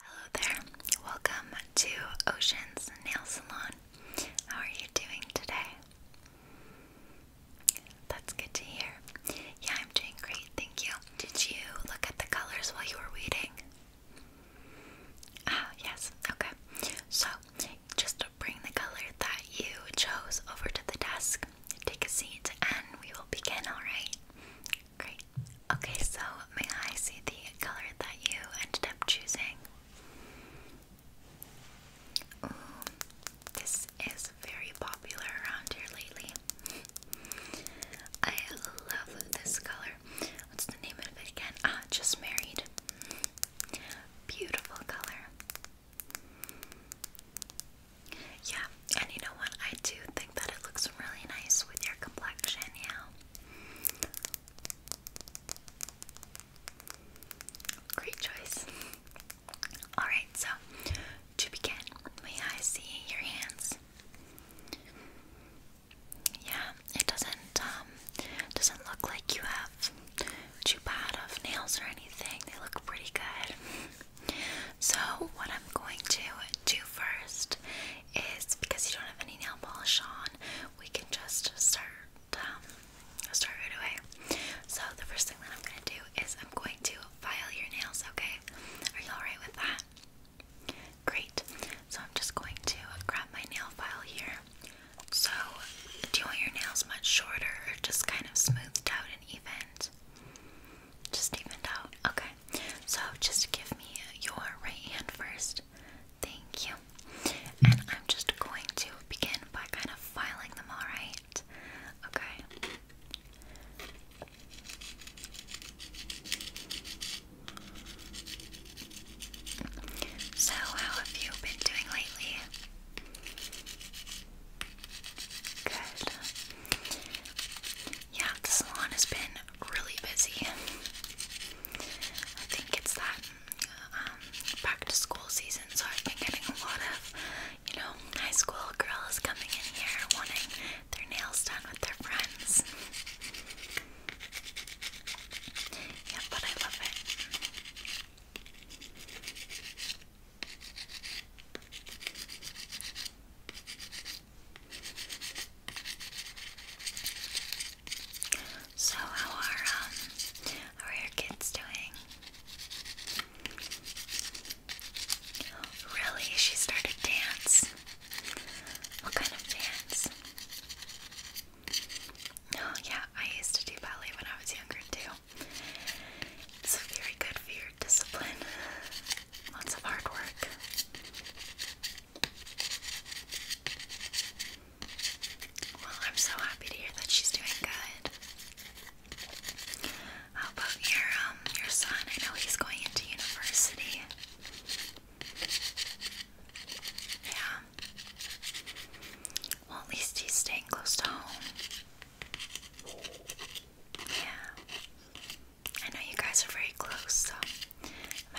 Hello there, welcome to Ocean's Nail Salon. How are you doing today? That's good to hear. Yeah, I'm doing great, thank you. Did you look at the colors while you were waiting? Ah, yes, okay. So, just bring the color that you chose over to the desk, take a seat, and we will begin, alright? Great. Okay, so may I see the color that you ended up choosing? this is very popular around here lately. I love this color. What's the name of it again? Ah, just married. Beautiful color. Yeah, and you know what? I do think that it looks really nice with your complexion, yeah. Great choice. Alright, so to begin, may I see your hands? Yeah, it doesn't um, doesn't look like you have too bad of nails or anything. They look pretty good. So what I'm going to do first is because you don't have any nail polish on, we can just start um, start right away. So the first thing that I'm gonna do is I'm going to file your nails. Okay, are you all right with that? Great. So I'm just going to grab my nail file here. So, do you want your nails much shorter or just kind of smoothed out and even? Just evened out. Okay so just give me your right hand first. Thank you. And I'm just going to begin by kind of filing them, alright? Okay. So, how have you been doing lately? Good. Yeah, the salon has been really busy. I think it's that um, back to school season, so I've been getting a lot of, you know, high school girls coming in here wanting their nails done with their friends. Yeah, but I love it. So how are um how are your kids doing? Really? She started dance? What kind of dance? Oh yeah, I used to do ballet when I was younger too. It's very good for your discipline. Lots of hard work. Well, I'm so happy to hear that she's doing good. How about your um your son? I know he's going into university. Yeah. Well, at least he's staying close to home. Yeah. I know you guys are very close, so I'm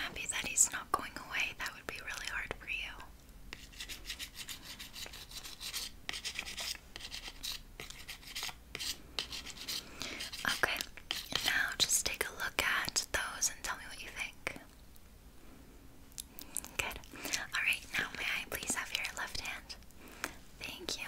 happy that he's not going away. That would be really hard for you. Okay, now just take a look at those and tell me what you think. Good. Alright, now may I please have your left hand? Thank you.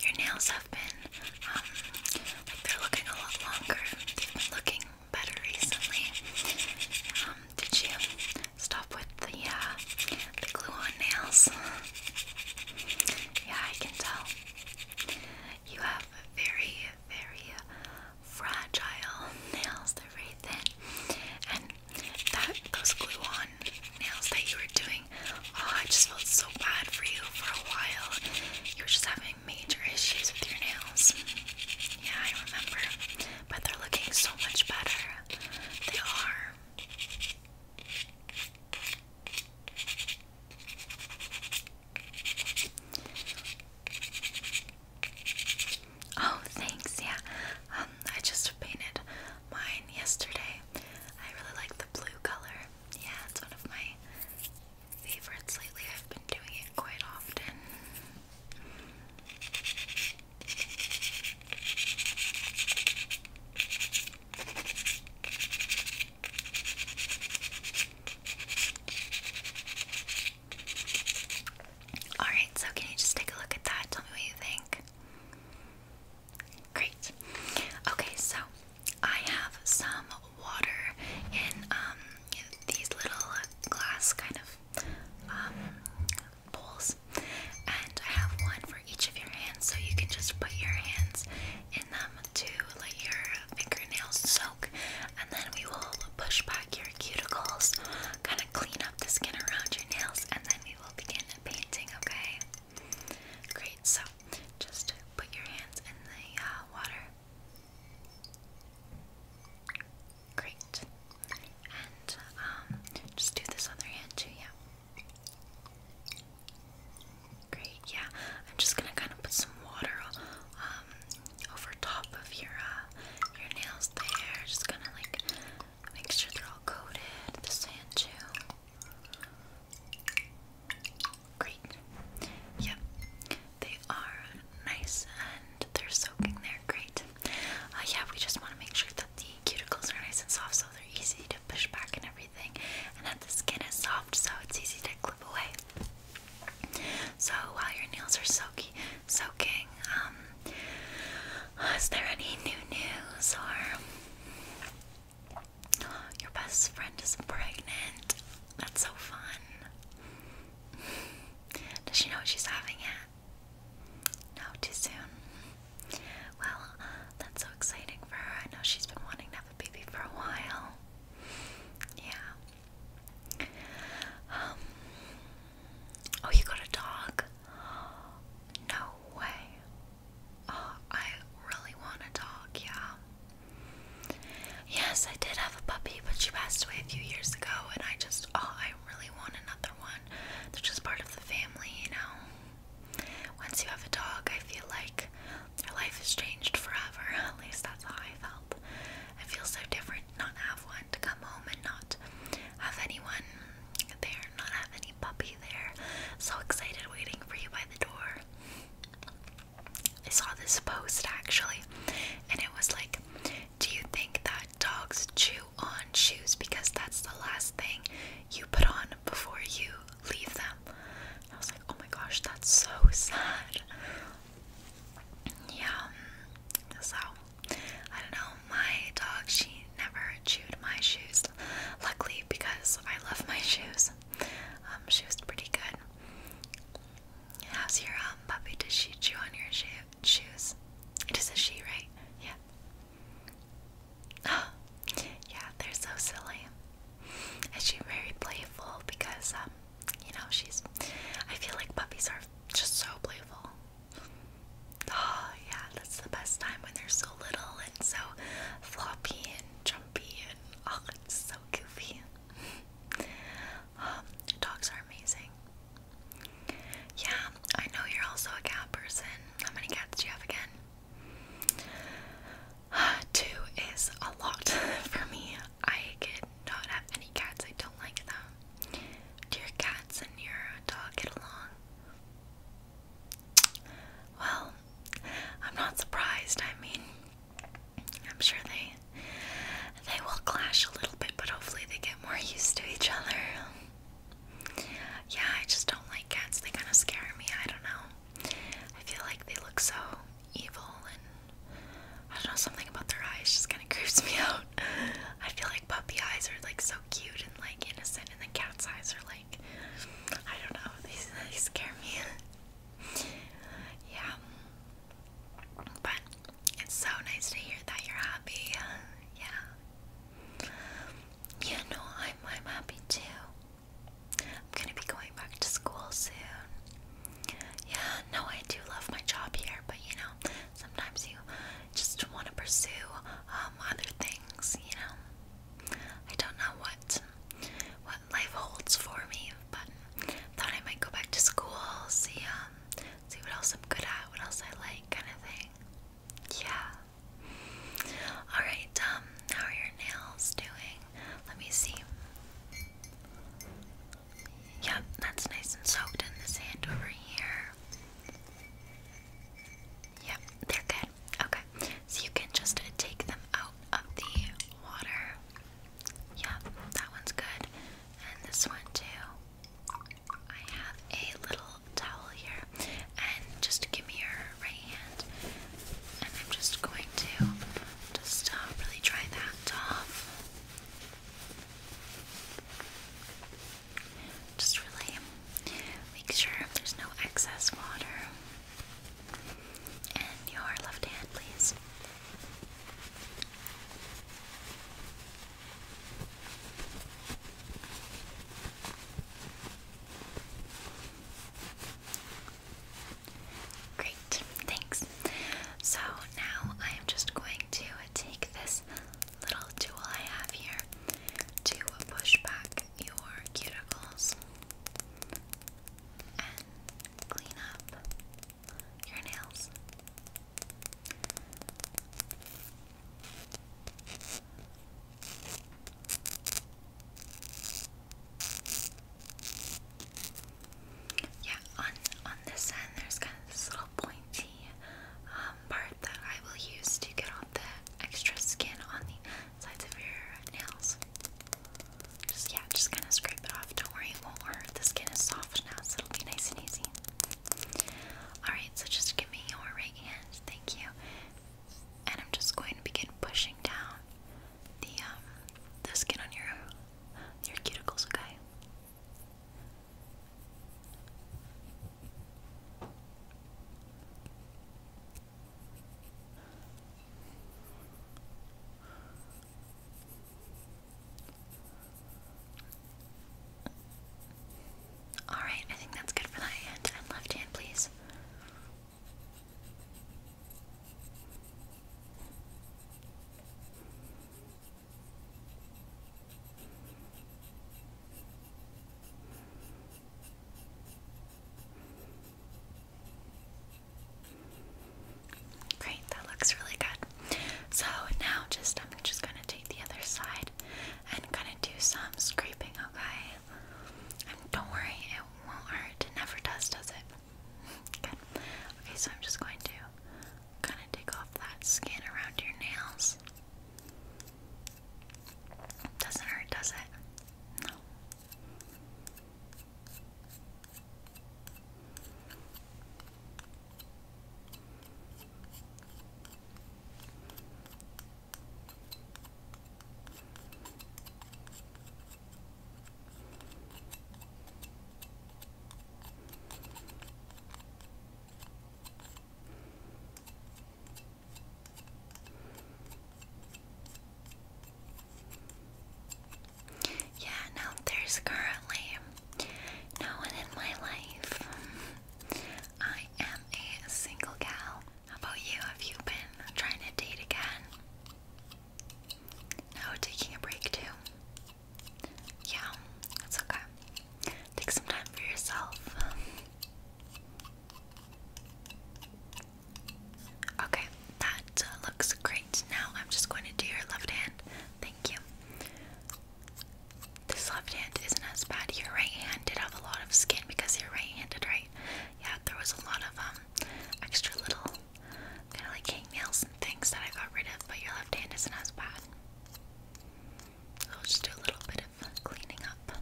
Your nails have been, um, they're looking a lot longer. They've been looking better recently. Um, did you stop with the, uh, the glue on nails? yeah, I can tell. You have very, very fragile nails. They're very thin. And that those glue on nails that you were doing, oh, I just felt so bad for you for a while. You were just having major issues with your nails. Yeah, I remember. But they're looking so much better. They are. Oh, thanks. Yeah, um, I just painted mine yesterday. I really like the blue color. Yeah, it's one of my favorites lately. I've been doing it quite often. Alright, so can you just take a look at that? Tell me what you think. Great. Okay, so I have some water in um, these little glass kind of um, bowls, and I have one for each of your hands, so you can just put your hands in them to let your fingernails soak, and then we will push back your cuticles, kind of clean up the skin around your nails, and we will begin painting, okay? Great, so just put your hands in the uh, water. Great. And um, just do this other hand too, yeah. Great, yeah. I'm just gonna kind of put some water um, over top of your uh, your nails there. Just kind of like Make sure they're all coated, the sand too. Great. Yep, they are nice and they're soaking there. Great. Uh, yeah, we just want to make sure that the cuticles are nice and soft so they're easy to push back and everything, and that the skin is soft so it's easy to clip away. So while your nails are soaky, soaking. Um, is there any new news or your best friend is pregnant? That's so fun. Does she know she's having it? No, too soon. Well, that's so exciting for her. I know she's been wanting to have a baby for a while. Yeah. Um, Oh, you got a dog? No way. Oh, I really want a dog, yeah. Yes, I did have a puppy, but she passed away a few years ago, and I just, oh, I really want another one. They're just part of the family, you know. Once you have a dog, I feel like their life is changed forever. At least that's how I felt. It feels so different not have one to come home and not have anyone there, not have any puppy there. So excited waiting for you by the door. I saw this post actually, and it was like, Do you think that dogs chew on shoes because that's the last thing you put on before you leave them? I was like, Oh my gosh, that's so sad. Yeah, so I don't know, my dog, she never chewed my shoes. Luckily, because I love my shoes, um, she was pretty good. How's your um, puppy? Does she chew on your sho shoes? It is a she, right? Yeah. yeah, they're so silly. And she's very playful because, um, you know, she's. I feel like puppies are just so playful. Oh, yeah, that's the best time when they're so little and so floppy and jumpy and oh, it's so goofy. Um, dogs are amazing. Yeah, I know you're also a cat person. How many cats do you have again? two is a lot for me. I could not have any cats. I don't like them. Do your cats and your dog get along? Well, I'm not surprised. I mean, I'm sure they they will clash a little bit, but hopefully they get more used to each other. Yeah, I just don't like cats. They kind of scare me. I don't know. I feel like they look so evil and I don't know, something about their eyes just kind of creeps me out. I feel like puppy eyes are like so cute and like innocent, and the cat's eyes are like I don't know. These they scare me. yeah, but it's so nice to hear that you're happy. Yeah. Yeah, no, I'm I'm happy too. I'm gonna be going back to school soon. Yeah, no, I do love my job here, but you know, sometimes you just want to pursue um, other things, you know. I don't know what what life holds for me, but thought I might go back to school, see um, see what else I'm good at, what else I like, kind of thing. Yeah. All right. Um, how are your nails doing? Let me see. Yep, that's nice and soaked in the sand over here. Yeah, they're good. Okay, so you can just take them out of the water. Yeah, that one's good. And this one too. I have a little towel here. And just give me your right hand. And I'm just going to just uh, really dry that off. Just really make sure there's no excess water. And your left hand, please. Great, thanks. So now I am just going to take this little tool I have here to push back your cuticles and clean up your nails. Yeah, on on this end there's kind of this little pointy um, um, part that I will use to get off the extra skin on the sides of your nails. Just, yeah, just kind of scrape it off. Don't worry, it won't hurt. The skin is soft now, so it'll be nice and easy. Alright, so just give me your right hand. Thank you. And I'm just going to begin pushing down the, um, the skin on your, your cuticles, okay? Alright, I think that's good for that hand left hand, please. Great, that looks really good. So now just I'm just gonna take the other side and kind of do some scraping, okay? And don't worry, it won't hurt. It never does, does it? Good. Okay, so I'm just going to kind of take off that skin around your nails. Doesn't hurt, does it? Yeah, now there's currently no one in my life. I am a single gal. How about you? Have you been trying to date again? No, taking a break too. Yeah, that's okay. Take some time for yourself. Okay, that uh, looks great. Now I'm just going to do your left hand. Thank you. This left hand isn't as bad. Your right hand did have a lot of skin because you're right-handed, right? Yeah, there was a lot of um extra little kind of like hangnails and things that I got rid of, but your left hand isn't as bad. I'll just do a little bit of cleaning up.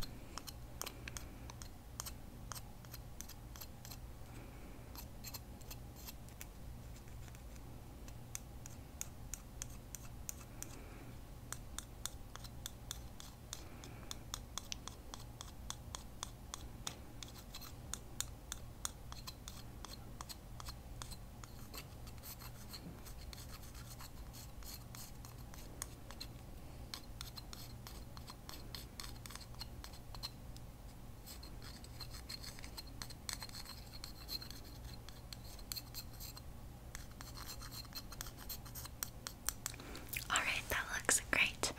All right, that looks great.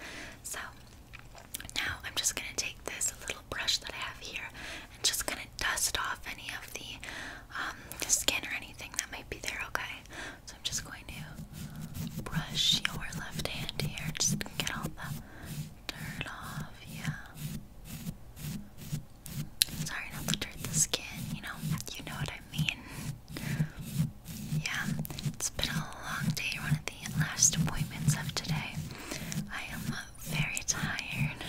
So now I'm just going to take this little brush that I have here and just going to dust off any of the the um, skin or anything that might be there, okay? So I'm just going to brush your left hand here just get all the dirt off. Yeah. Sorry not to dirt the skin, you know. You know what I mean. Yeah, it's been a long day, one of the last appointments of today. I am very tired.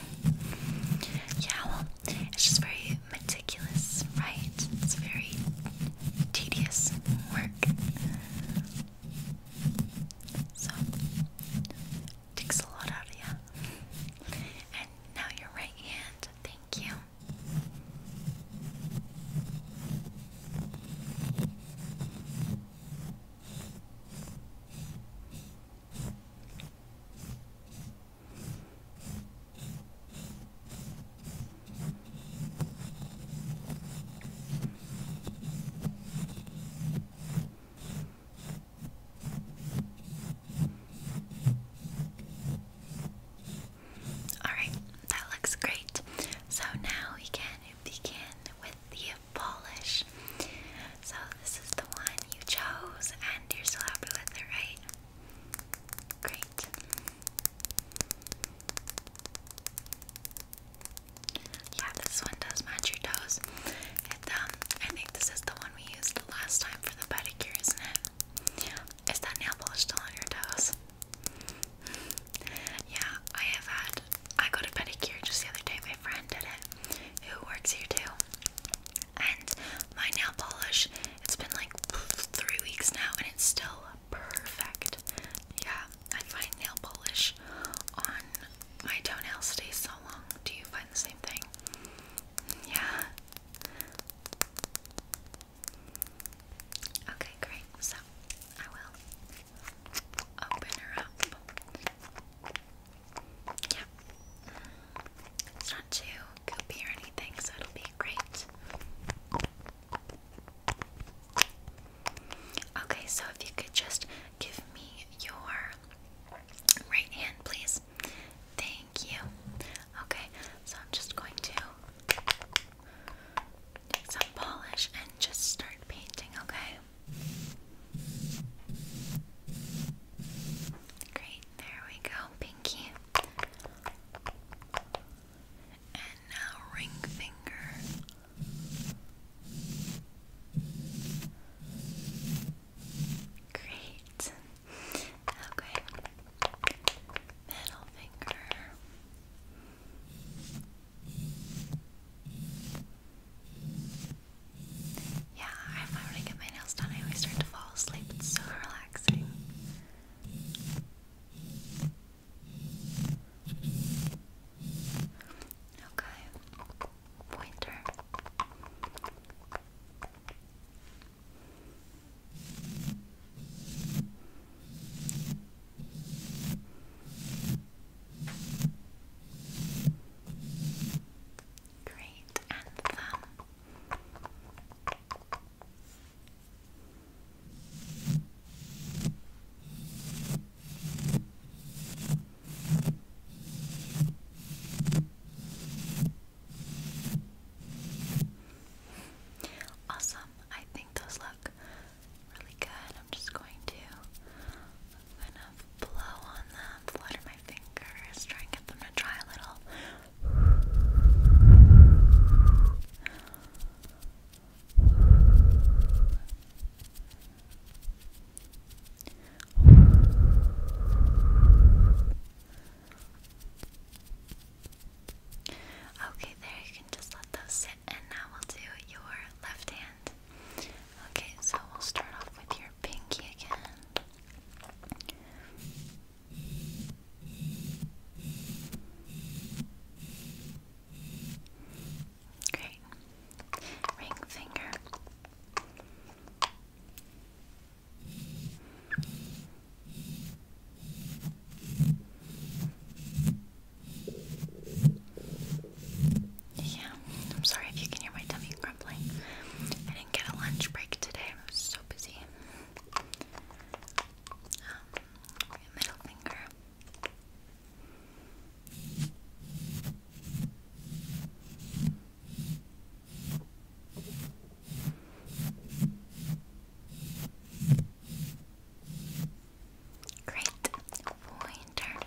Yeah, well, it's just very meticulous, right? It's very tedious work. So, takes a lot out of you. And now your right hand, thank you. Alright, that looks great. So now we can begin with the polish. So this is the one you chose and you're still happy with it, right? Great. Yeah, this one does match your toes. It, um, I think this is the one we used the last time for the pedicure, isn't it? Yeah. Is that nail polish still on your toes? yeah, I have had. I got a pedicure just the other day. My friend did it, who works here too. And my nail polish it's been like three weeks now and it's still perfect. Yeah, I find nail polish on my toenails stays so long. Do you find the same thing? Yeah. Okay, great. So I will open her up. Yeah. It's not too goopy or anything, so it'll be great. Okay, so if you could just give me your right hand, please. Thank you. Okay, so I'm just going to take some polish and just start painting, okay? Great, there we go, Pinky and now ring finger. Great. Okay. Middle finger. Yeah, I remember when get my nails done, I always start to fall asleep. It's so relaxing. Okay, pointer. Great, and thumb. Awesome. I think those look really good. I'm just going to I'm blow on them, flutter my fingers, try and get them to dry a little. Okay, there you can just let those sit, and now we'll do your left hand. Okay, so we'll start off with your pinky again. Ring finger. Yeah, I'm sorry if you can hear my tummy grumbling. I didn't get a lunch break today. I was so busy. Um, your middle finger. Great pointer.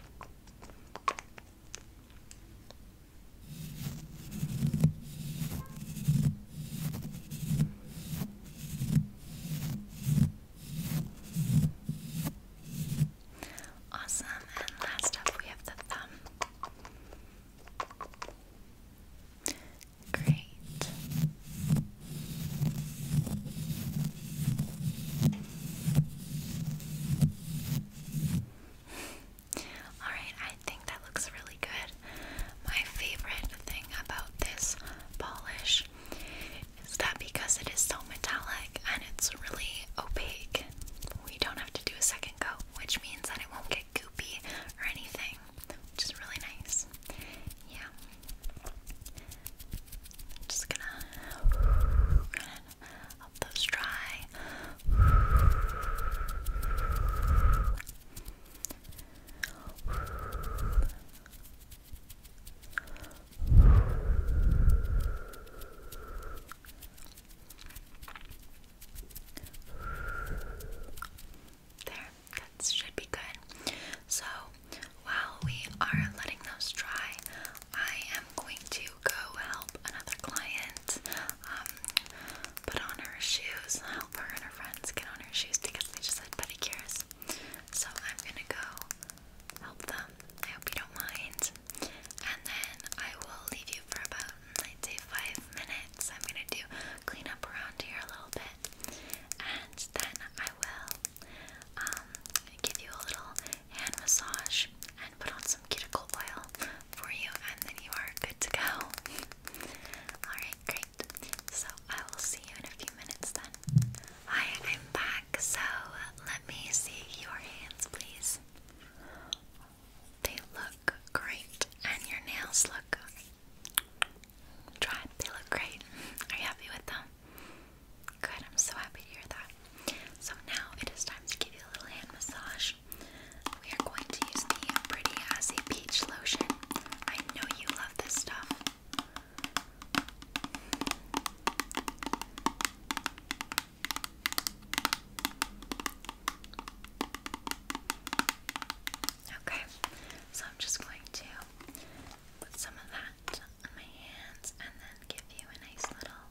Awesome. And last up, we have the thumb. Great. All right, I think that looks really good. My favorite thing about this polish is that because it is so metallic and it's really opaque, we don't have to do a second coat, which means that it won't get goopy or anything, which is really nice. Yeah. I'm just gonna, gonna help those dry. There, that should be good. So while we are letting those dry, I am going to go help another client um, put on her shoes, help her and her friends get on her shoes because they just had pedicures. So I'm gonna go help them. I hope you don't mind. And then I will leave you for about, i five minutes. I'm gonna do clean up around here a little bit. And then I will um, give you a little hand massage and put on some cuticle oil for you, and then you are good to go. Alright, great so I will see you in a few minutes then. Hi, I'm back, so let me see your hands, please. They look great, and your nails look dried. They look great. Are you happy with them? Good, I'm so happy to hear that. So now it is time to give you a little hand massage. We are going to use the Pretty Assy Peach Lotion. I know you love this stuff. Okay, so I'm just going to put some of that on my hands and then give you a nice little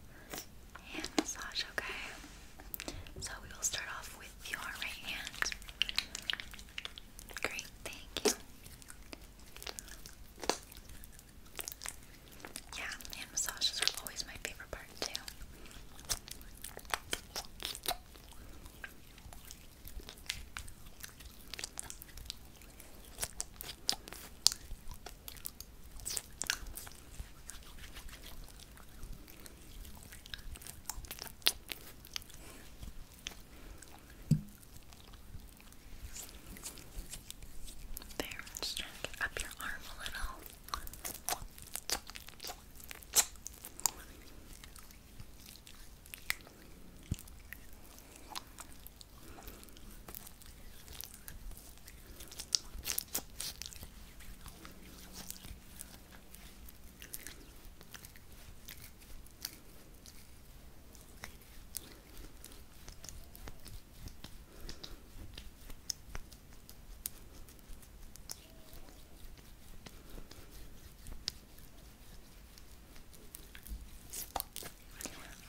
hand massage, okay? So we will start off with your right hand. Great, thank you. Yeah, hand massages are always my favorite part too. There, let's try get up your arm a little.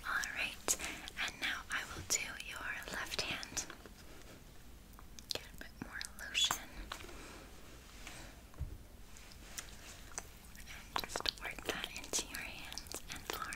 Alright, and now I will do your left hand. Get a bit more lotion and just work that into your hands and arm.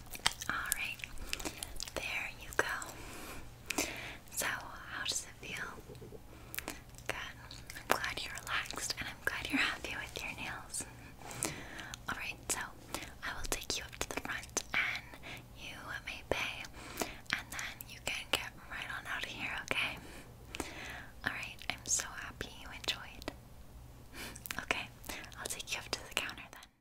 Alright, there you go. So, how does it feel? Good. I'm glad you're relaxed and I'm glad you're happy with your nails. Alright, so I will take you up to the front and you may pay and then you can get right on out of here, okay? Alright, I'm so happy you enjoyed. okay, I'll take you up to the counter then.